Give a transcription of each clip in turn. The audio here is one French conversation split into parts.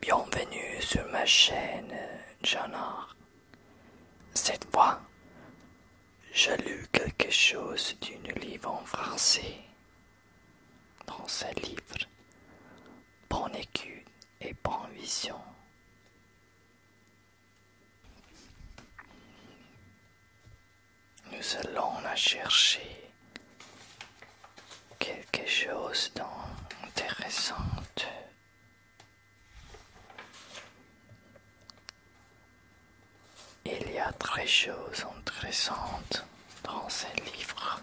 Bienvenue sur ma chaîne Jonard. Cette fois, j'ai lu quelque chose d'une livre en français. Dans ce livre, bonne et prend vision. Nous allons la chercher quelque chose d'intéressant. Il y a très choses intéressantes dans ces livres.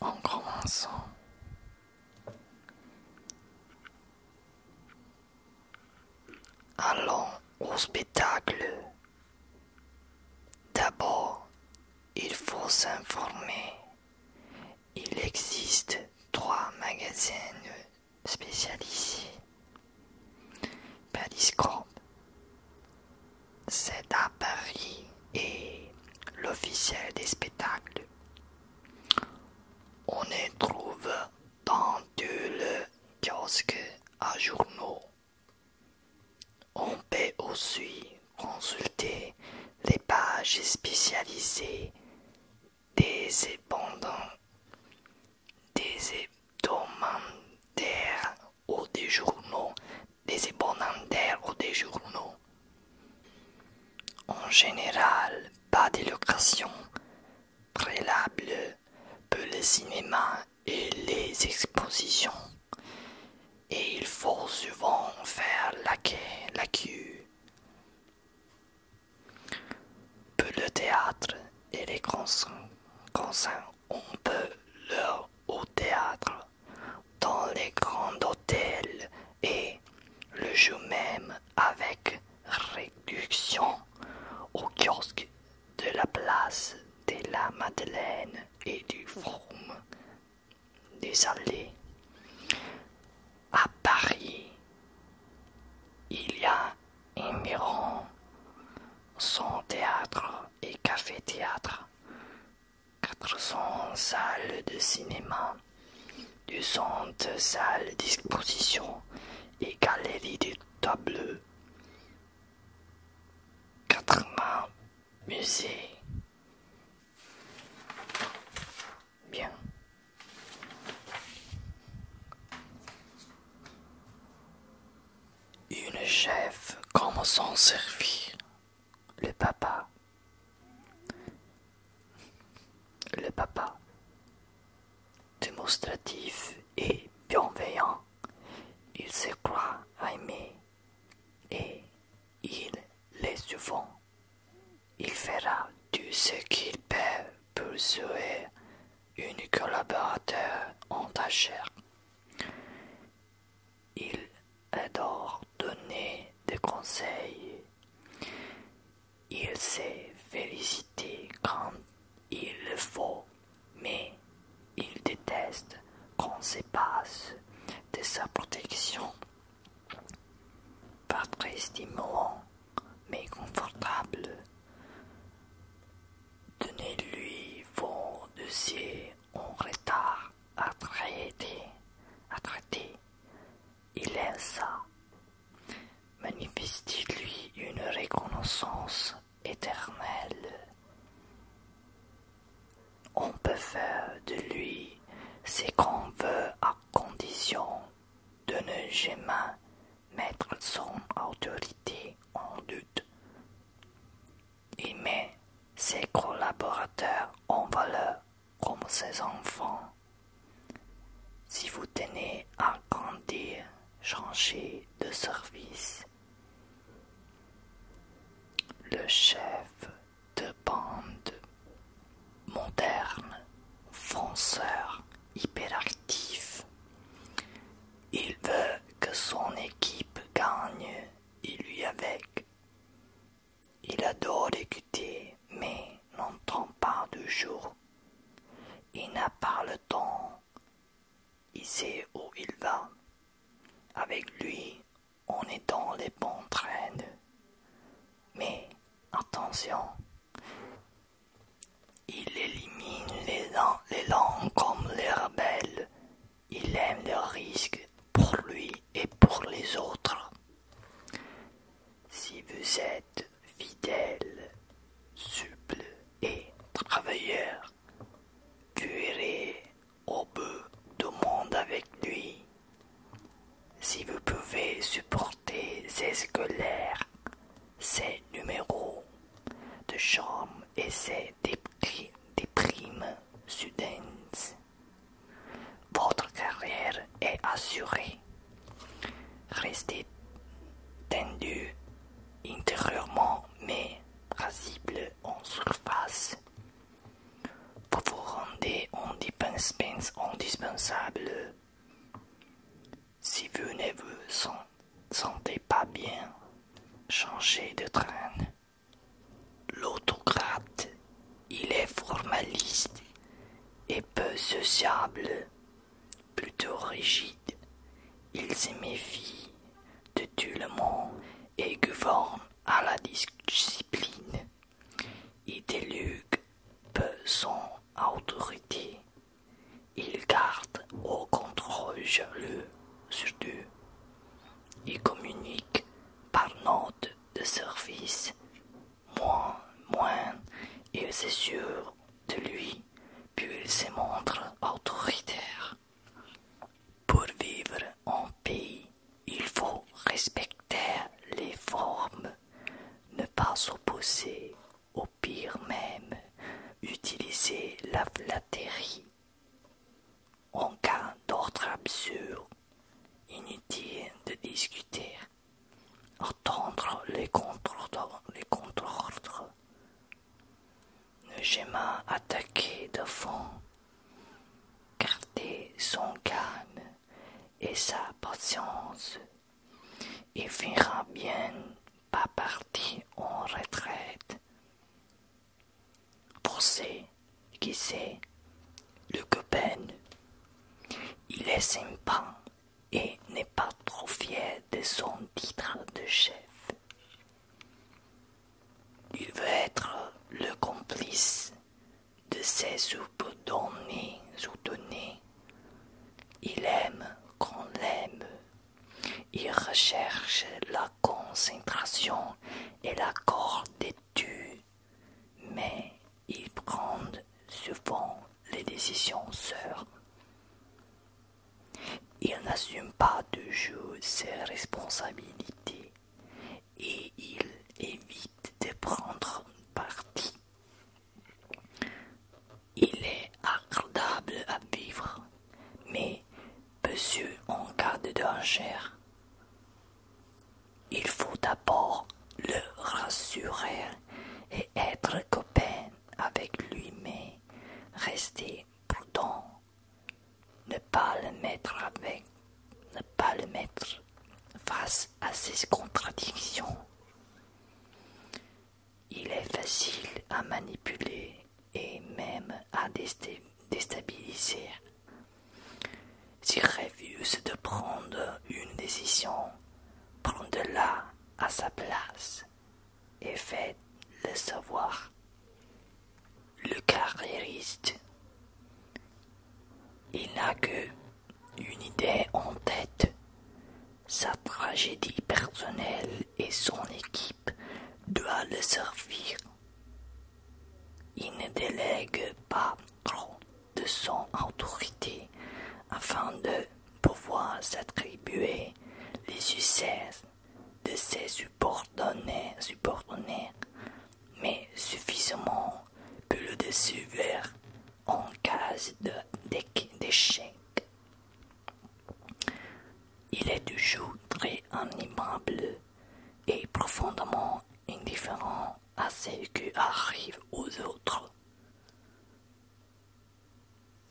en commençant Allons au spectacle. D'abord, il faut s'informer. Il existe trois magasins spécialisés. Periscope, c'est à Paris et l'officiel des spectacles on y trouve dans les kiosque à journaux. On peut aussi consulter les pages spécialisées des épondants, des hebdomadaires ou des journaux, des ou des journaux. En général, pas d'élocution préalable pour le cinéma et les expositions, et il faut souvent faire la queue. La queue. Pour le théâtre et les concerts, on peut leur au théâtre dans les grands hôtels et le jeu même avec réduction au kiosque de la place de la Madeleine et du Forum des Allées. À Paris, il y a environ 100 théâtres et café théâtre. 400 salles de cinéma, 200 salles d'exposition et galeries de tableaux, 80 musées. Bien. Une chef comment s'en servir le papa. Le papa. Démonstratif et bienveillant, il se croit aimé et il l'est souvent. Il fera tout ce qu'il peut pour sauver une collaborateur en ta chair. Il adore donner des conseils. Il sait féliciter quand il le faut, mais il déteste qu'on se passe de sa protection. Pas très mais confortable. Donnez-lui vos dossiers en retard attraité, attraité. Il est ça. Manifeste-lui une reconnaissance éternelle. On peut faire de lui ce qu'on veut à condition de ne jamais mettre son autorité en doute. Il met ses collaborateurs en valeur comme ses enfants. Si vous tenez à grandir, changer de service. Le chef de bande moderne, fonceur, hyperactif. Il veut que son équipe gagne, et lui avec. Il adore écouter, mais n'entend pas du jour. Il n'a pas le temps. Il sait où il va. Avec lui, on est dans les bons traînes. Mais attention, il élimine les, les langues comme les rebelles. Il aime le risques Pour lui, et pour les autres. Si vous êtes fidèle, souple et travailleur, vous irez au bout du monde avec lui. Si vous pouvez supporter ses scolaires, ses numéros de chambre et ses déprimes soudaines, votre carrière est assurée. Restez tendu intérieurement mais rasible en surface. Vous vous rendez indispensable. Si vous ne vous sentez pas bien, changez de train. L'autocrate, il est formaliste et peu sociable, plutôt rigide. Il se méfie de tout le monde et gouverne à la discipline. Il délugue peu son autorité. Il garde au contrôle jaloux sur tout Il communique par notes de service, moins, moins il sûr de lui, puis il se montre autoritaire. Pour vivre en pays, il faut respecter les formes, ne pas s'opposer, au pire même, utiliser la flatterie. En cas d'ordre absurde, inutile de discuter, entendre les contre-ordres. ne jamais attaquer de fond, garder son calme et sa patience, il finira bien pas partir en retraite. Pensez qui c'est le copain. Il est sympa et n'est pas trop fier de son titre de chef. Il veut être le complice de ses sous-données. Il aime qu'on l'aime. Il recherche la concentration et l'accord d'étude mais ils prennent souvent les décisions seuls. Ils n'assument pas toujours ses responsabilités et il évitent de prendre parti. Il est agréable à vivre, mais peu sûr en cas de danger. Il faut d'abord le rassurer et être copain avec lui, mais rester prudent. Ne pas le mettre avec, ne pas le mettre face à ses contradictions. Il est facile à manipuler et même à déstabiliser. S'il refuse de prendre une décision, prends-la à sa place et faites-le savoir. Le carriériste, il n'a que une idée en tête, sa tragédie personnelle et son équipe doit le servir il ne délègue pas trop de son autorité afin de pouvoir s'attribuer les succès de ses subordonnés, mais suffisamment pour le décevoir en cas d'échec. Il est toujours très animable et profondément indifférent à ce qui arrive aux autres.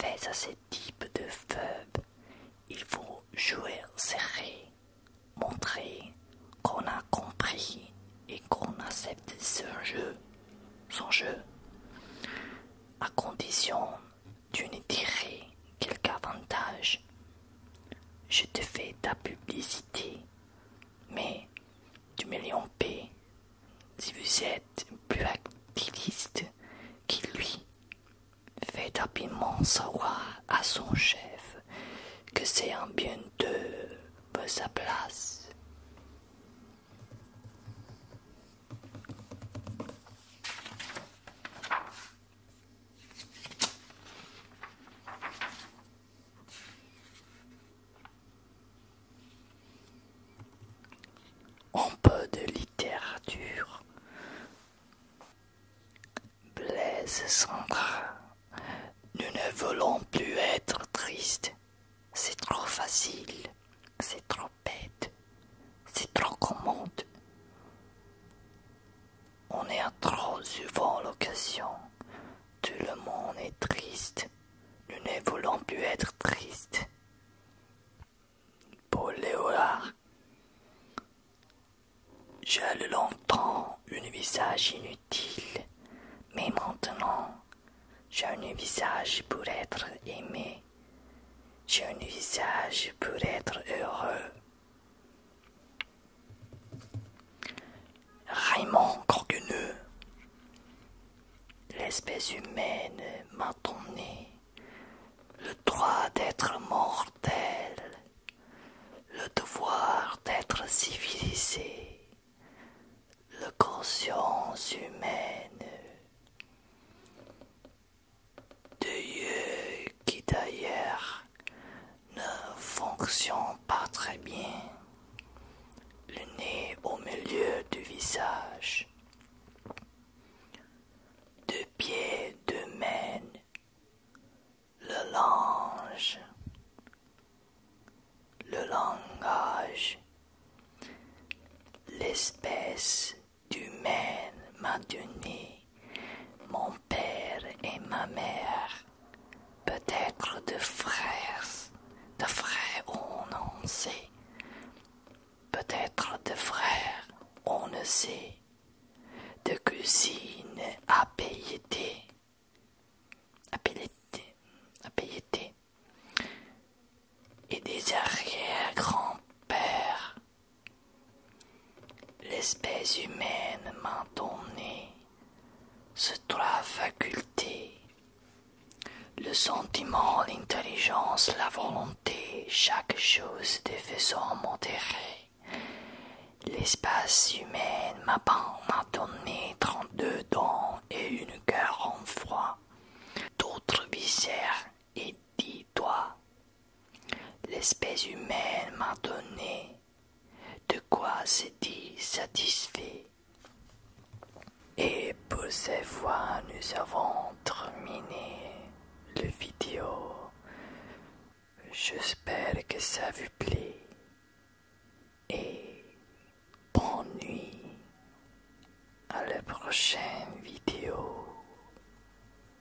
Face à ce type de veuve, il faut jouer serré, montrer qu'on a compris et qu'on accepte son jeu, son jeu, à condition d'une ne tirer quelque avantage je te fais ta publicité, mais tu me en paix si vous êtes plus activiste qui lui. fait rapidement savoir à son chef que c'est un bien de sa place. Un peu de littérature. Blaise Sandra, nous ne voulons plus être tristes. C'est trop facile, c'est trop bête, c'est trop commode. On est trop souvent l'occasion Tout le monde est triste. Nous ne voulons plus être tristes. Paul Léolard. J'ai longtemps un visage inutile, mais maintenant j'ai un visage pour être aimé. J'ai un visage pour être heureux. Raymond Corgueneux. L'espèce humaine m'a donné le droit d'être mortel, le devoir d'être civilisé, la conscience humaine. Dieu qui d'ailleurs ne fonctionne pas très bien. Le nez au milieu du visage. de pieds de mène. Le linge. Le langage. L'espèce du mène maintenu mon père et ma mère, peut-être de frères, de frères on ne sait, peut-être de frères on ne sait, de cousines à payeter, à et des arrière-grands-pères L'espèce humaine m'a donné trois facultés le sentiment, l'intelligence, la volonté, chaque chose des mon modérée. L'espace humaine m'a donné trente-deux dents et une cœur en froid, d'autres viscères et dix doigts L'espèce humaine m'a donné de quoi s'est-il satisfait. Et pour cette fois, nous avons terminé le vidéo. J'espère que ça vous plaît. Et bonne nuit à la prochaine vidéo.